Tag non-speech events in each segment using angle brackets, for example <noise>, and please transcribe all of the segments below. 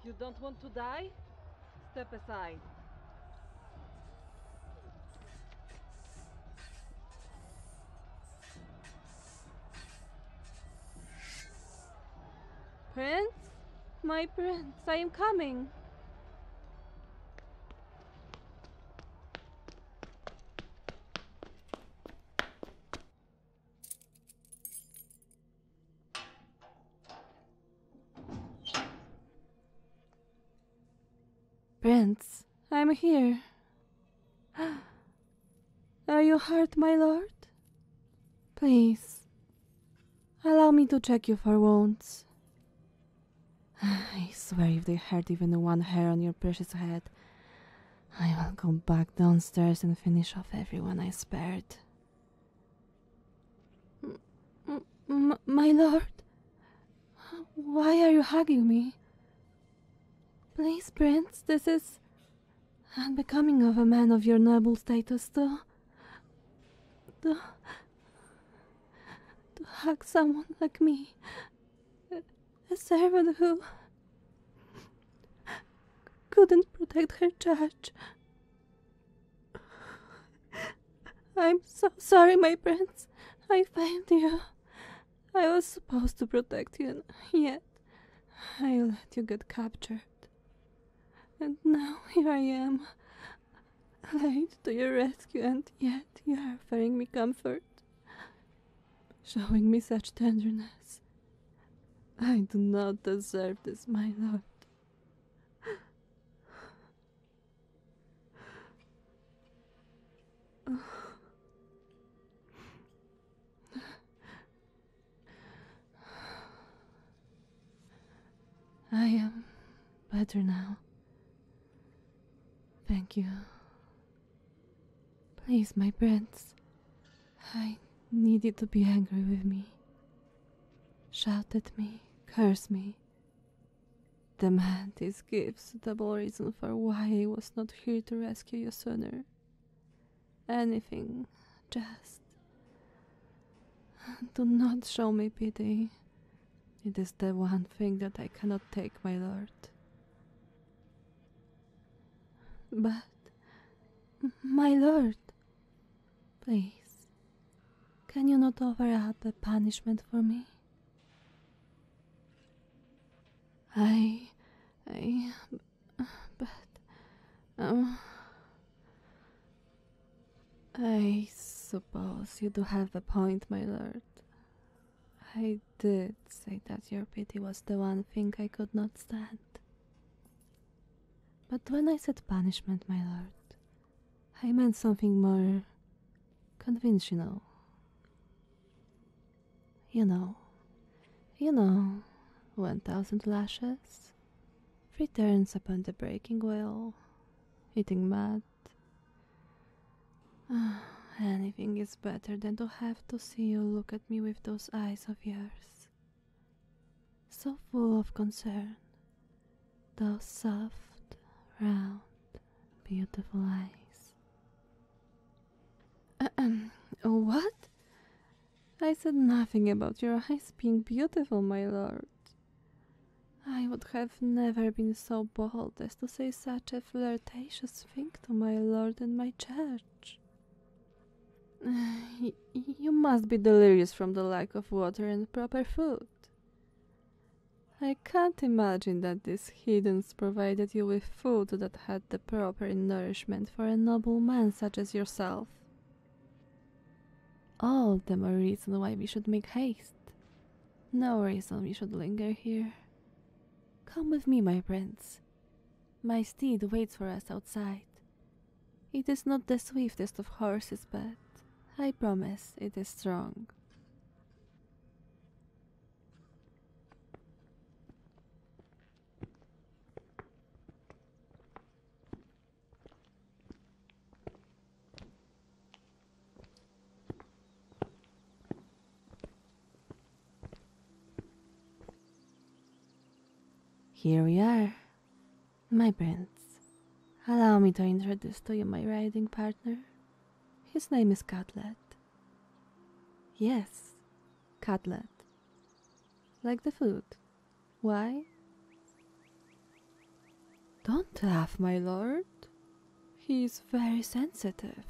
If you don't want to die, step aside. Prince? My prince, I am coming. Prince, I'm here. <gasps> Are you hurt, my lord? Please, allow me to check you for wounds. <sighs> I swear if they hurt even one hair on your precious head, I will go back downstairs and finish off everyone I spared. M my lord, why are you hugging me? Please, Prince, this is unbecoming of a man of your noble status to. to to hug someone like me, a servant who couldn't protect her charge. I'm so sorry, my prince. I failed you. I was supposed to protect you, and yet I let you get captured. And now here I am. Allied to your rescue, and yet you are offering me comfort, showing me such tenderness. I do not deserve this, my lord. I am better now. Thank you. Please, my prince. I need you to be angry with me. Shout at me, curse me. Demand these gifts double reason for why he was not here to rescue you sooner. Anything, just. Do not show me pity. It is the one thing that I cannot take, my lord. But, my lord, please, can you not offer up a punishment for me? I. I. But. Um. I suppose you do have a point, my lord. I did say that your pity was the one thing I could not stand. But when I said punishment, my lord, I meant something more conventional. You know, you know, one thousand lashes, three turns upon the breaking wheel, eating mud, <sighs> Anything is better than to have to see you look at me with those eyes of yours. So full of concern. Those soft, round, beautiful eyes. Ahem. <clears throat> what? I said nothing about your eyes being beautiful, my lord. I would have never been so bold as to say such a flirtatious thing to my lord and my church. <sighs> you must be delirious from the lack of water and proper food. I can't imagine that these heathens provided you with food that had the proper nourishment for a noble man such as yourself. All of them are reasons why we should make haste. No reason we should linger here. Come with me, my prince. My steed waits for us outside. It is not the swiftest of horses, but I promise it is strong. Here we are, my prince. Allow me to introduce to you my riding partner. His name is Cutlet. Yes, Cutlet. Like the food. Why? Don't laugh, my lord. He is very sensitive.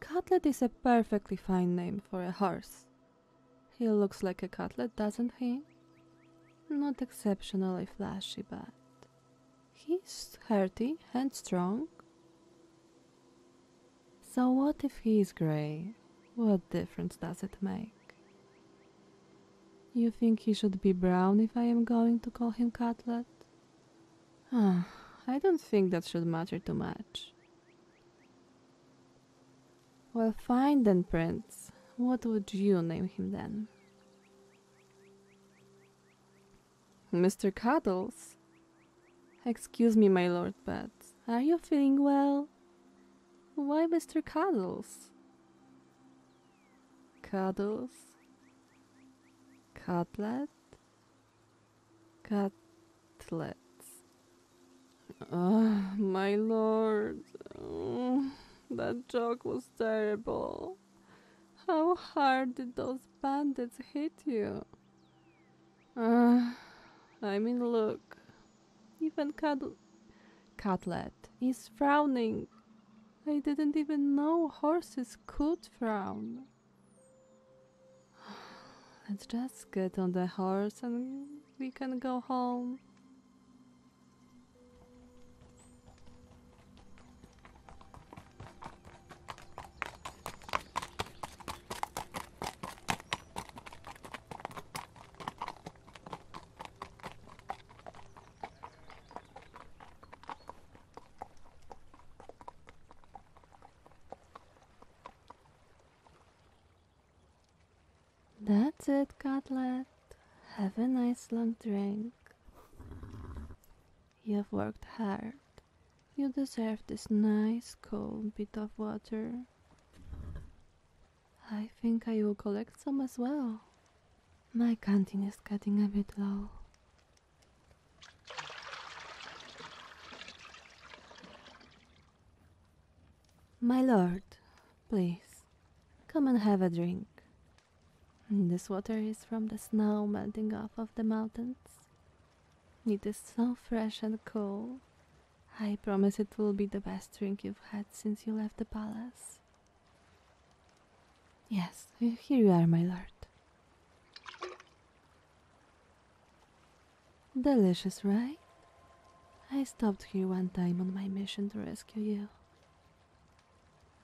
Cutlet is a perfectly fine name for a horse. He looks like a cutlet, doesn't he? Not exceptionally flashy, but he's hearty and strong. So what if he is grey? What difference does it make? You think he should be brown if I am going to call him Cutlet? Ah, I don't think that should matter too much. Well, fine then, Prince. What would you name him then? Mr. Cuddles? Excuse me, my lord, but are you feeling well? Why, Mr. Cuddles? Cuddles? Cutlet? Cutlets. Ah, my lord. Mm, that joke was terrible. How hard did those bandits hit you? Ah, I mean, look, even Cutlet is frowning. I didn't even know horses could frown. <sighs> Let's just get on the horse and we can go home. That's it, Cutlet. Have a nice long drink. You've worked hard. You deserve this nice cold bit of water. I think I will collect some as well. My canteen is getting a bit low. My lord, please, come and have a drink. This water is from the snow melting off of the mountains. It is so fresh and cool, I promise it will be the best drink you've had since you left the palace. Yes, here you are, my lord. Delicious, right? I stopped here one time on my mission to rescue you.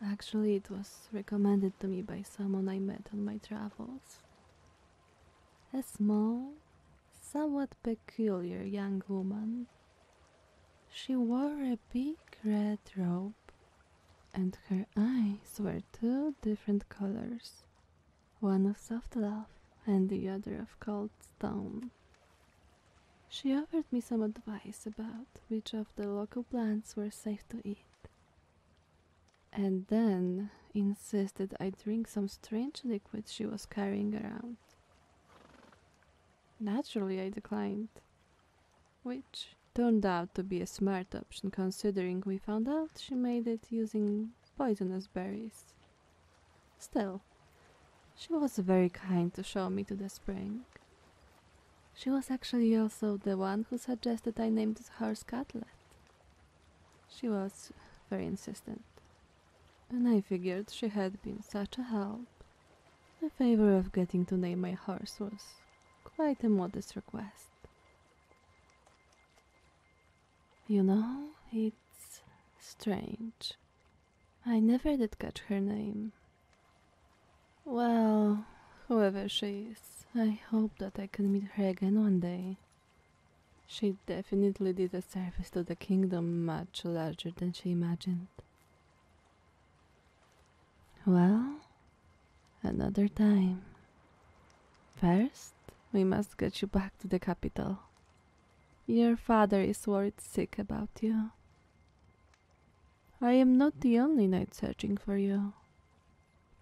Actually, it was recommended to me by someone I met on my travels. A small, somewhat peculiar young woman. She wore a big red robe, and her eyes were two different colors one of soft love and the other of cold stone. She offered me some advice about which of the local plants were safe to eat. And then insisted I drink some strange liquid she was carrying around. Naturally, I declined, which turned out to be a smart option considering we found out she made it using poisonous berries. Still, she was very kind to show me to the spring. She was actually also the one who suggested I named her horse She was very insistent and I figured she had been such a help. The favor of getting to name my horse was quite a modest request. You know, it's strange. I never did catch her name. Well, whoever she is, I hope that I can meet her again one day. She definitely did a service to the kingdom much larger than she imagined. Well, another time. First, we must get you back to the capital. Your father is worried sick about you. I am not the only knight searching for you.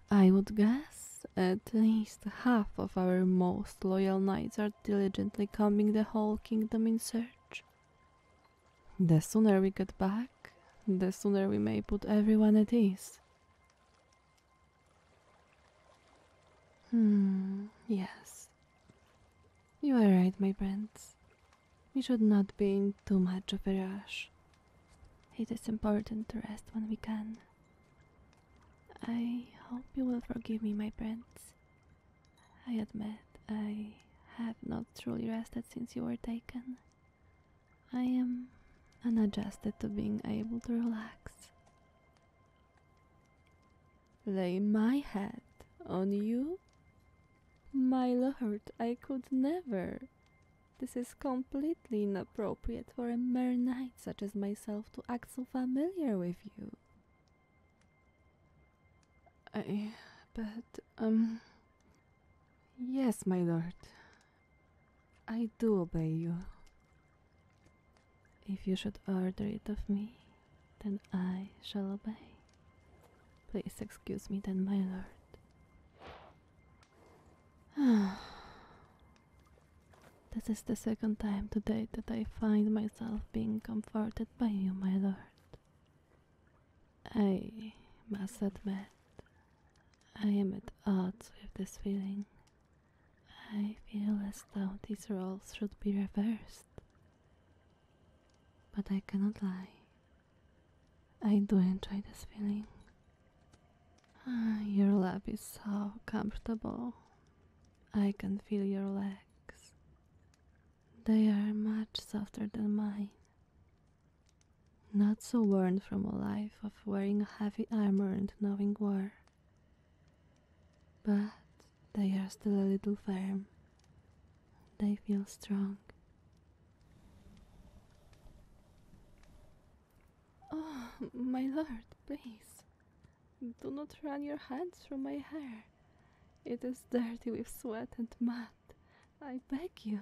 I would guess at least half of our most loyal knights are diligently combing the whole kingdom in search. The sooner we get back, the sooner we may put everyone at ease. Hmm, yes. You are right, my prince. We should not be in too much of a rush. It is important to rest when we can. I hope you will forgive me, my prince. I admit I have not truly rested since you were taken. I am unadjusted to being able to relax. Lay my head on you? My lord, I could never. This is completely inappropriate for a mere knight such as myself to act so familiar with you. I. But, um. Yes, my lord. I do obey you. If you should order it of me, then I shall obey. Please excuse me, then, my lord. This is the second time today that I find myself being comforted by you, my lord. I must admit, I am at odds with this feeling. I feel as though these roles should be reversed. But I cannot lie. I do enjoy this feeling. Ah, your lap is so comfortable, I can feel your legs. They are much softer than mine. Not so worn from a life of wearing heavy armor and knowing war. But they are still a little firm. They feel strong. Oh, my lord, please. Do not run your hands through my hair. It is dirty with sweat and mud. I beg you.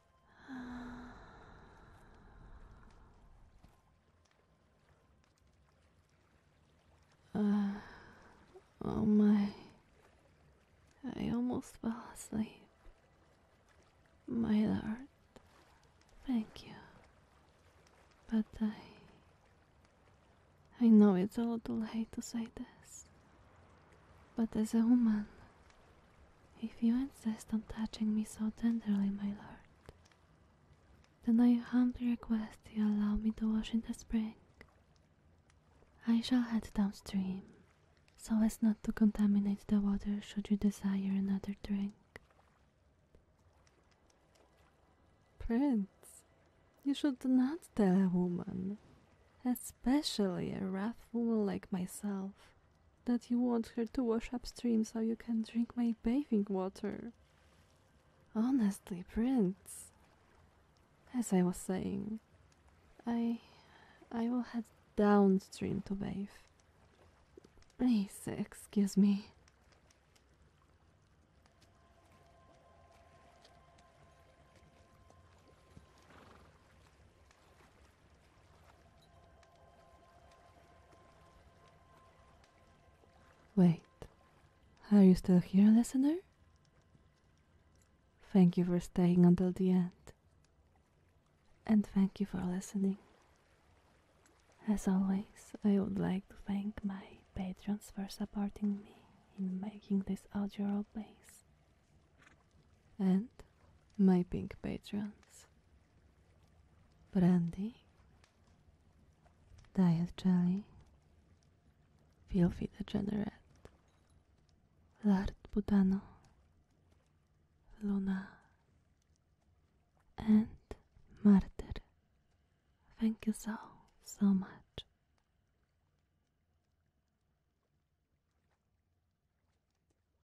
oh my. I almost fell asleep. My lord, thank you. But I. I know it's a little late to say this. But as a woman, if you insist on touching me so tenderly, my lord, then I humbly request you allow me to wash in the spring. I shall head downstream, so as not to contaminate the water should you desire another drink. Prince, you should not tell a woman, especially a wrathful like myself, that you want her to wash upstream so you can drink my bathing water. Honestly, Prince, as I was saying, I, I will head downstream to bathe. Please excuse me. Wait, are you still here, listener? Thank you for staying until the end. And thank you for listening. As always, I would like to thank my patrons for supporting me in making this audio place, And my pink patrons brandy, diet jelly, filthy degenerate, lard budano, luna, and martyr. Thank you so, so much.